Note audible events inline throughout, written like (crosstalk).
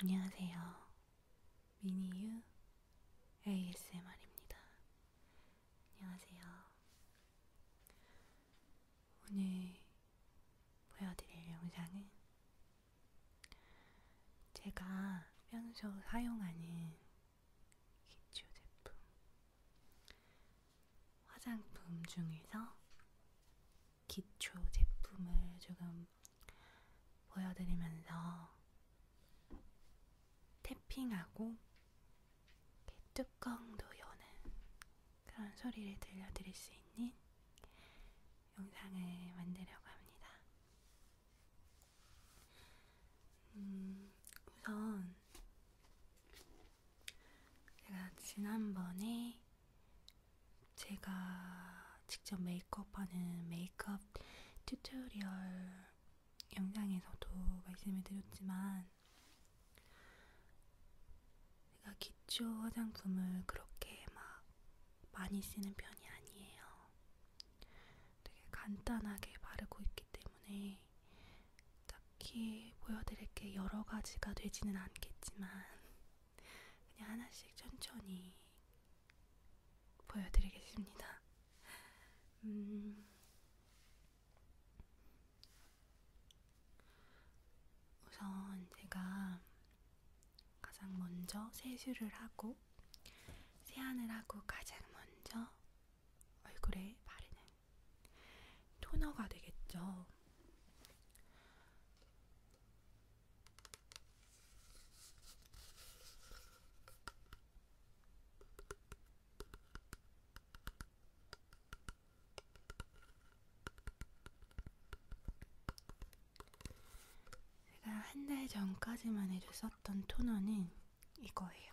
안녕하세요. 미니유 ASMR입니다. 안녕하세요. 오늘 보여드릴 영상은 제가 평소 사용하는 기초 제품 화장품 중에서 기초 제품을 조금 보여드리면서 태핑하고 뚜껑도 여는 그런 소리를 들려드릴 수 있는 영상을 만들려고 합니다. 음, 우선 제가 지난번에 제가 직접 메이크업하는 메이크업 튜토리얼 영상에서도 말씀을 드렸지만 제가 기초 화장품을 그렇게 막 많이 쓰는 편이 아니에요. 되게 간단하게 바르고 있기 때문에 딱히 보여드릴 게 여러 가지가 되지는 않겠지만 그냥 하나씩 천천히 보여드리겠습니다. 음, 우선 제가 가장 먼저 세수를 하고 세안을 하고 가장 먼저 얼굴에 바르는 토너가 되겠죠. 제가 한 달 전까지만 해도 썼던 토너는 이거예요.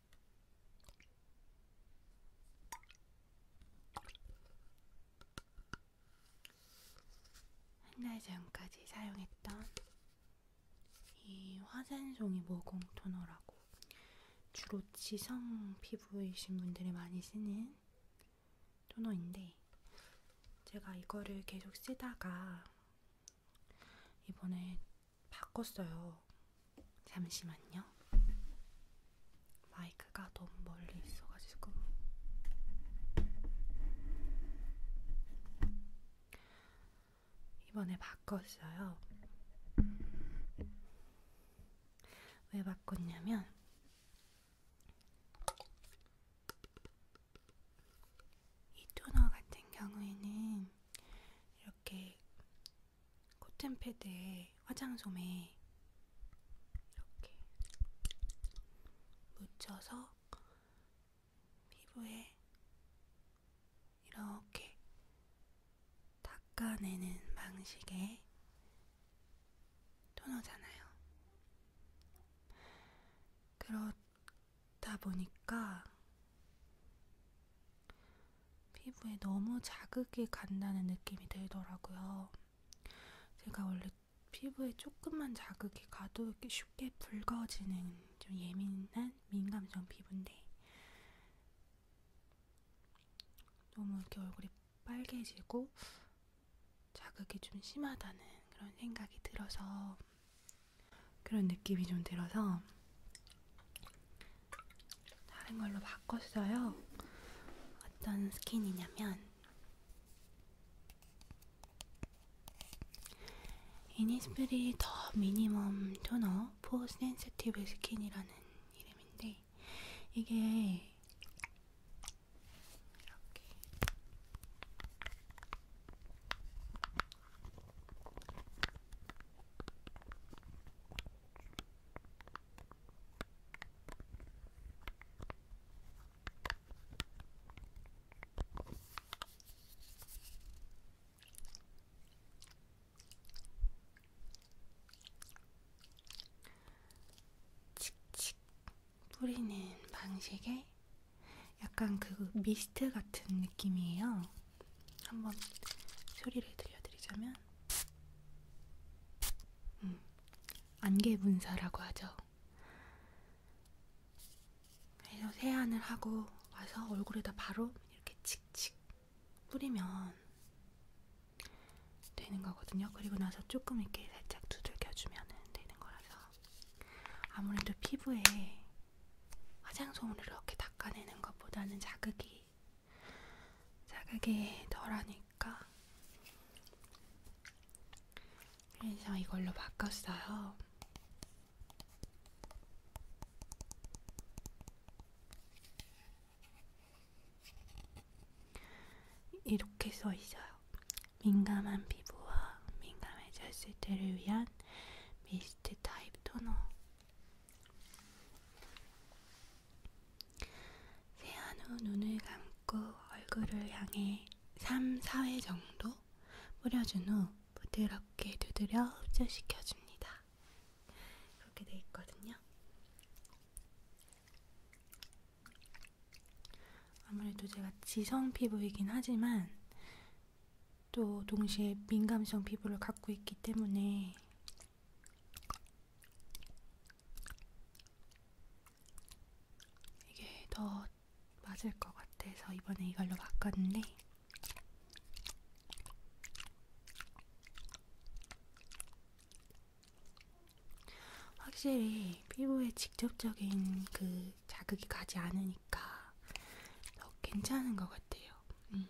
한달 전까지 사용했던 이 화산송이 모공 토너라고 주로 지성 피부이신 분들이 많이 쓰는 토너인데 제가 이거를 계속 쓰다가 이번에 바꿨어요. 잠시만요. 마이크가 너무 멀리 있어가지고. 이번에 바꿨어요. 왜 바꿨냐면, 이 토너 같은 경우에는 이렇게 코튼 패드에 화장솜에 이렇게 묻혀서 피부에 이렇게 닦아내는 방식의 토너잖아요. 그렇다 보니까 피부에 너무 자극이 간다는 느낌이 들더라고요. 제가 원래 피부에 조금만 자극이 가도 이렇게 쉽게 붉어지는 좀 예민한 민감성 피부인데 너무 이렇게 얼굴이 빨개지고 자극이 좀 심하다는 그런 생각이 들어서 그런 느낌이 좀 들어서 다른 걸로 바꿨어요. 어떤 스킨이냐면 이니스프리 더 미니멈 토너 포 센시티브 스킨이라는 이름인데 이게 이렇게 칙칙 뿌리는 방식에 약간 그 미스트 같은 느낌이에요. 한번 소리를 들려드리자면 음, 안개분사라고 하죠. 그래서 세안을 하고 와서 얼굴에다 바로 이렇게 칙칙 뿌리면 되는 거거든요. 그리고 나서 조금 이렇게 살짝 두들겨주면 되는 거라서 아무래도 피부에 화장솜으로 이렇게 닦아내는 것보다는 자극이 자극이 덜하니까 그래서 이걸로 바꿨어요. 이렇게 써 있어요. 민감한 피부와 민감해졌을 때를 위한 미스트 타입 토너. 세안 후 눈을 감고 얼굴을 향해 3, 4회 정도 뿌려준 후 부드럽게 두드려 흡수시켜줍니다. 그렇게 돼 있거든요. 아무래도 제가 지성 피부이긴 하지만 또 동시에 민감성 피부를 갖고 있기 때문에 이게 더 맞을 것 같아서 이번에 이걸로 바꿨는데 확실히 피부에 직접적인 그 자극이 가지 않으니까 더 괜찮은 것 같아요. 음.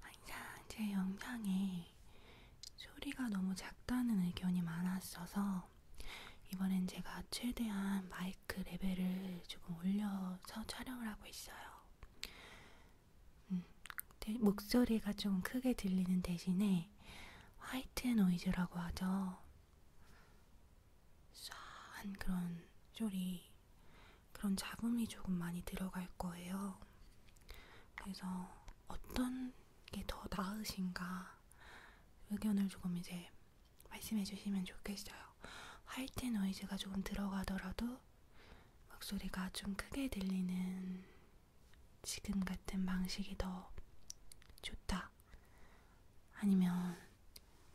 항상 아, 제 영상에 소리가 너무 작다는 의견이 많았어서 이번엔 제가 최대한 마이크 레벨을 조금 올려서 촬영을 하고 있어요. 음, 목소리가 좀 크게 들리는 대신에 화이트 노이즈라고 하죠. 쏴한 그런 소리, 그런 잡음이 조금 많이 들어갈 거예요. 그래서 어떤 게 더 나으신가 의견을 조금 이제 말씀해 주시면 좋겠어요. 화이트 노이즈가 조금 들어가더라도 목소리가 좀 크게 들리는 지금 같은 방식이 더 좋다. 부른다. 아니면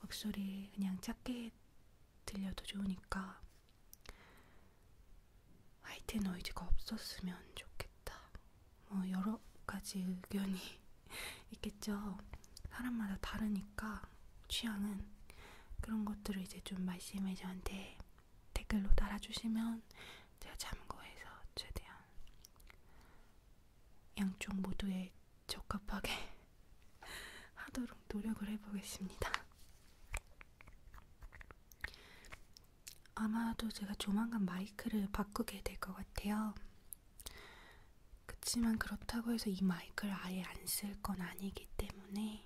목소리 그냥 작게 들려도 좋으니까 화이트 노이즈가 없었으면 좋겠다. 뭐 여러 가지 의견이 (laughs) 있겠죠. 사람마다 다르니까 취향은 그런 것들을 이제 좀 말씀해 저한테 댓글로 달아주시면 제가 참고해서 최대한 양쪽 모두에 적합하게 (laughs) 하도록 노력을 해보겠습니다. 아마도 제가 조만간 마이크를 바꾸게 될 것 같아요. 그렇지만 그렇다고 해서 이 마이크를 아예 안 쓸 건 아니기 때문에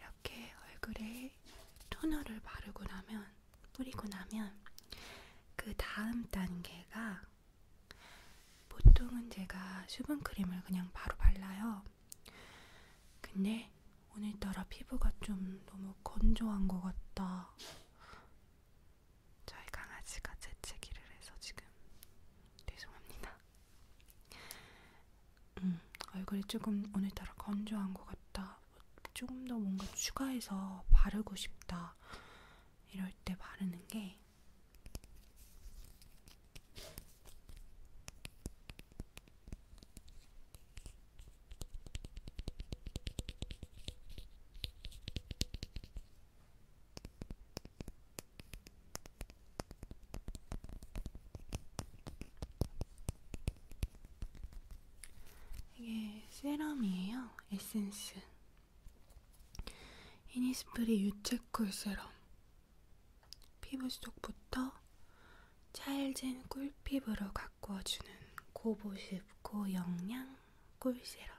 이렇게 얼굴에 토너를 바르고 나면 뿌리고 나면 그 다음 단계가 보통은 제가 수분크림을 그냥 바로 발라요. 근데 오늘따라 피부가 좀 너무 건조한 것 같다. 저희 강아지가 재채기를 해서 지금 죄송합니다. 음, 얼굴이 조금 오늘따라 건조한 것 같다. 조금 더 뭔가 추가해서 바르고 싶다 이럴 때 바르는 게 이게 세럼이에요. 에센스. 이니스프리 유채꿀 세럼. 피부 속부터 찰진 꿀피부로 가꾸어주는 고보습, 고영양 꿀세럼.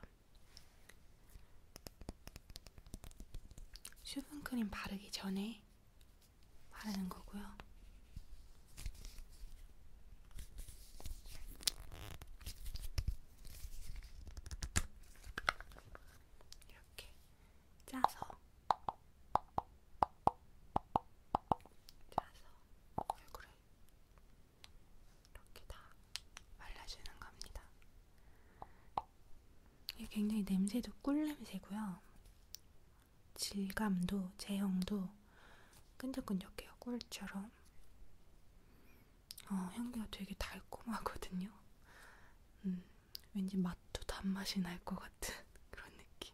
수분크림 바르기 전에 바르는 거고요. 이렇게 짜서 짜서 얼굴에 이렇게 다 발라주는 겁니다. 이게 굉장히 냄새도 꿀 냄새고요. 질감도 제형도 끈적끈적해요. 꿀처럼. 어, 향기가 되게 달콤하거든요. 음, 왠지 맛도 단맛이 날 것 같은 (laughs) 그런 느낌.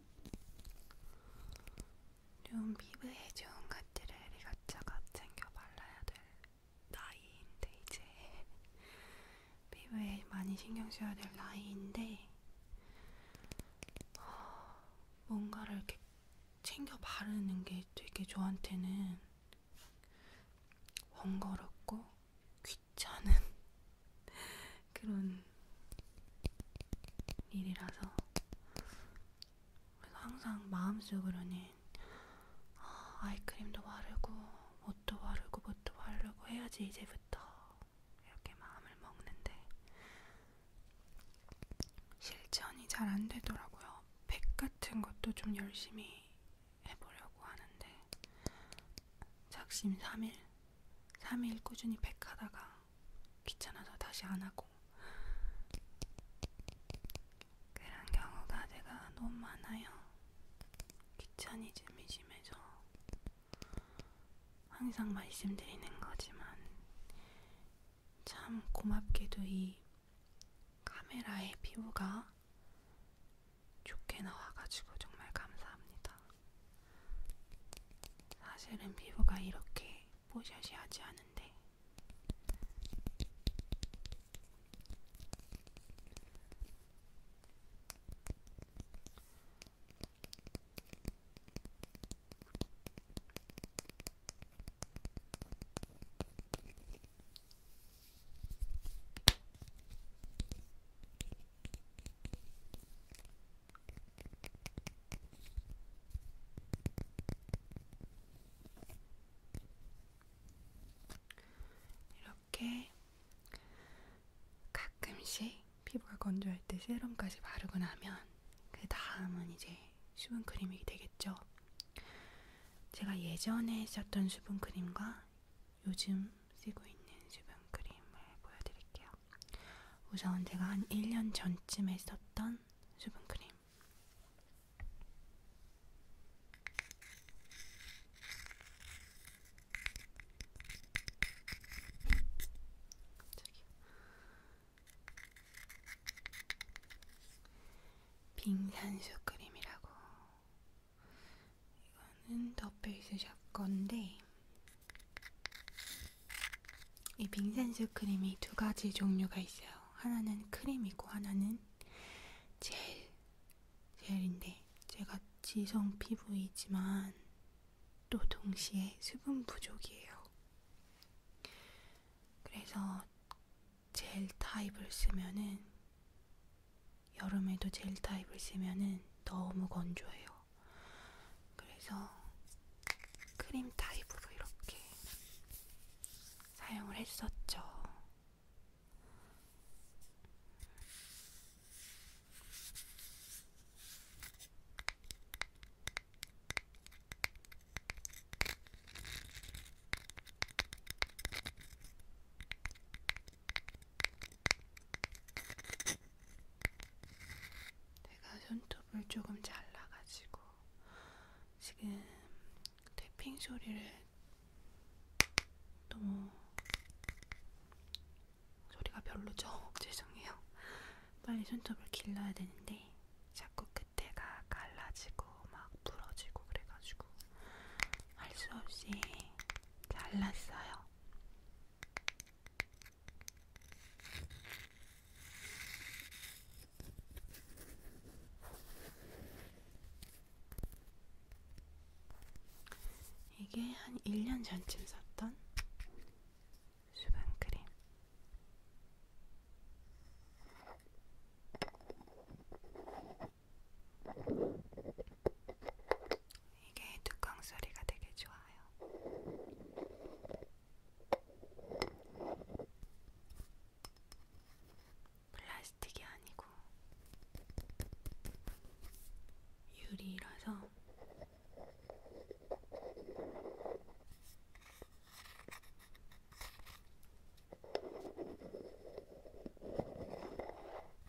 좀 피부에 좋은 것들을 이것저것 챙겨 발라야 될 나이인데 이제 피부에 (laughs) 많이 신경 써야 될 나이인데 어, 뭔가를 이렇게 챙겨 바르는 게 되게 저한테는 번거롭고 귀찮은 그런 일이라서 그래서 항상 마음속으로는 아, 아이크림도 바르고 옷도 바르고 뭣도 바르고 해야지 이제부터 이렇게 마음을 먹는데 실천이 잘 안 되더라고요. 팩 같은 것도 좀 열심히 해보려고 하는데 작심 3일 3일 꾸준히 팩하다가 귀찮아서 다시 안 하고 그런 경우가 제가 너무 많아요. 귀차니즘이 심해서 항상 말씀드리는 거지만 참 고맙게도 이 카메라의 피부가 좋게 나와가지고 정말 감사합니다. 사실은 피부가 이렇게 뽀샤시하지 않은데 이렇게 가끔씩 피부가 건조할 때 세럼까지 바르고 나면 그 다음은 이제 수분크림이 되겠죠. 제가 예전에 썼던 수분크림과 요즘 쓰고 있는 수분 크림을 보여드릴게요. 우선 제가 한 1년 전쯤에 썼던 수분 크림. 빙산수 크림이라고 이거는 더 베이스 샵 건데 이 빙산스 크림이 두 가지 종류가 있어요. 하나는 크림이고 하나는 젤, 젤인데 제가 지성 피부이지만 또 동시에 수분 부족이에요. 그래서 젤 타입을 쓰면은 여름에도 젤 타입을 쓰면은 너무 건조해요. 그래서 크림 타입으로 이렇게 사용을 했었죠. 내가 손톱을 조금 잘라가지고 지금 태핑 소리를 너무 소리가 별로죠? (laughs) 죄송해요. 빨리 손톱을 길러야 되는데 자꾸 끝에가 갈라지고 막 부러지고 그래가지고 할 수 없이 잘랐어요. 이게 한 1년 전쯤 샀던 수분크림. 이게 뚜껑 소리가 되게 좋아요. 플라스틱이 아니고 유리라서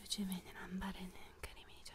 요즘에는 안 바르는 크림이죠.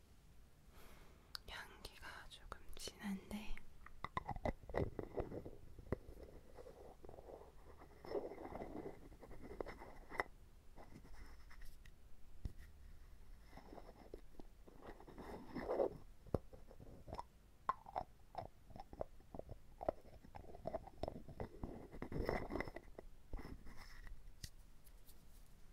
향기가 조금 진한데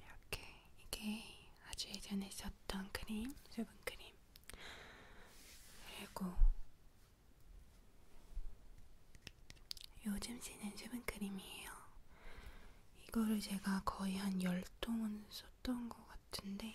이렇게 이게 아주 예전에 썼던 크림, 수분 크림 그리고 요즘 쓰는 수분크림이에요. 이거를 제가 거의 한 10통은 썼던 것 같은데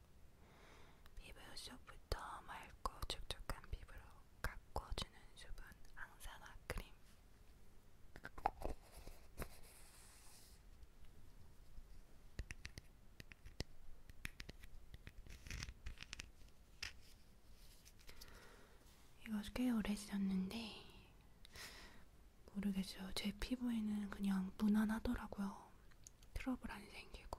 피부 속부터 맑고 촉촉한 피부로 가꿔주는 수분 항산화 크림 이거 꽤 오래 지났는데 모르겠어요. 제 피부에는 그냥 무난하더라고요. 트러블 안 생기고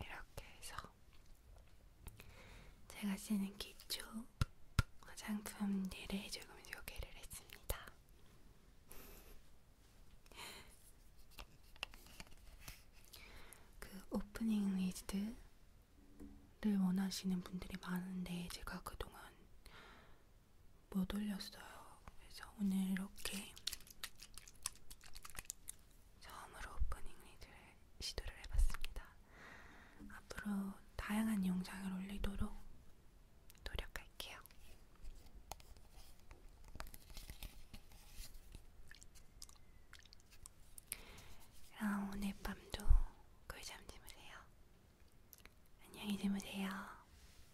이렇게 해서 제가 쓰는 기초 화장품들을 조금 소개를 했습니다. 그 오프닝 위즈를 원하시는 분들이 많은데 제가 그동안 못 올렸어요. 그래서 오늘 이렇게 처음으로 오프닝 리드를 시도를 해봤습니다. 앞으로 다양한 영상을 올리도록 노력할게요. 그럼 오늘 밤도 꿀잠 주무세요. 안녕히 주무세요.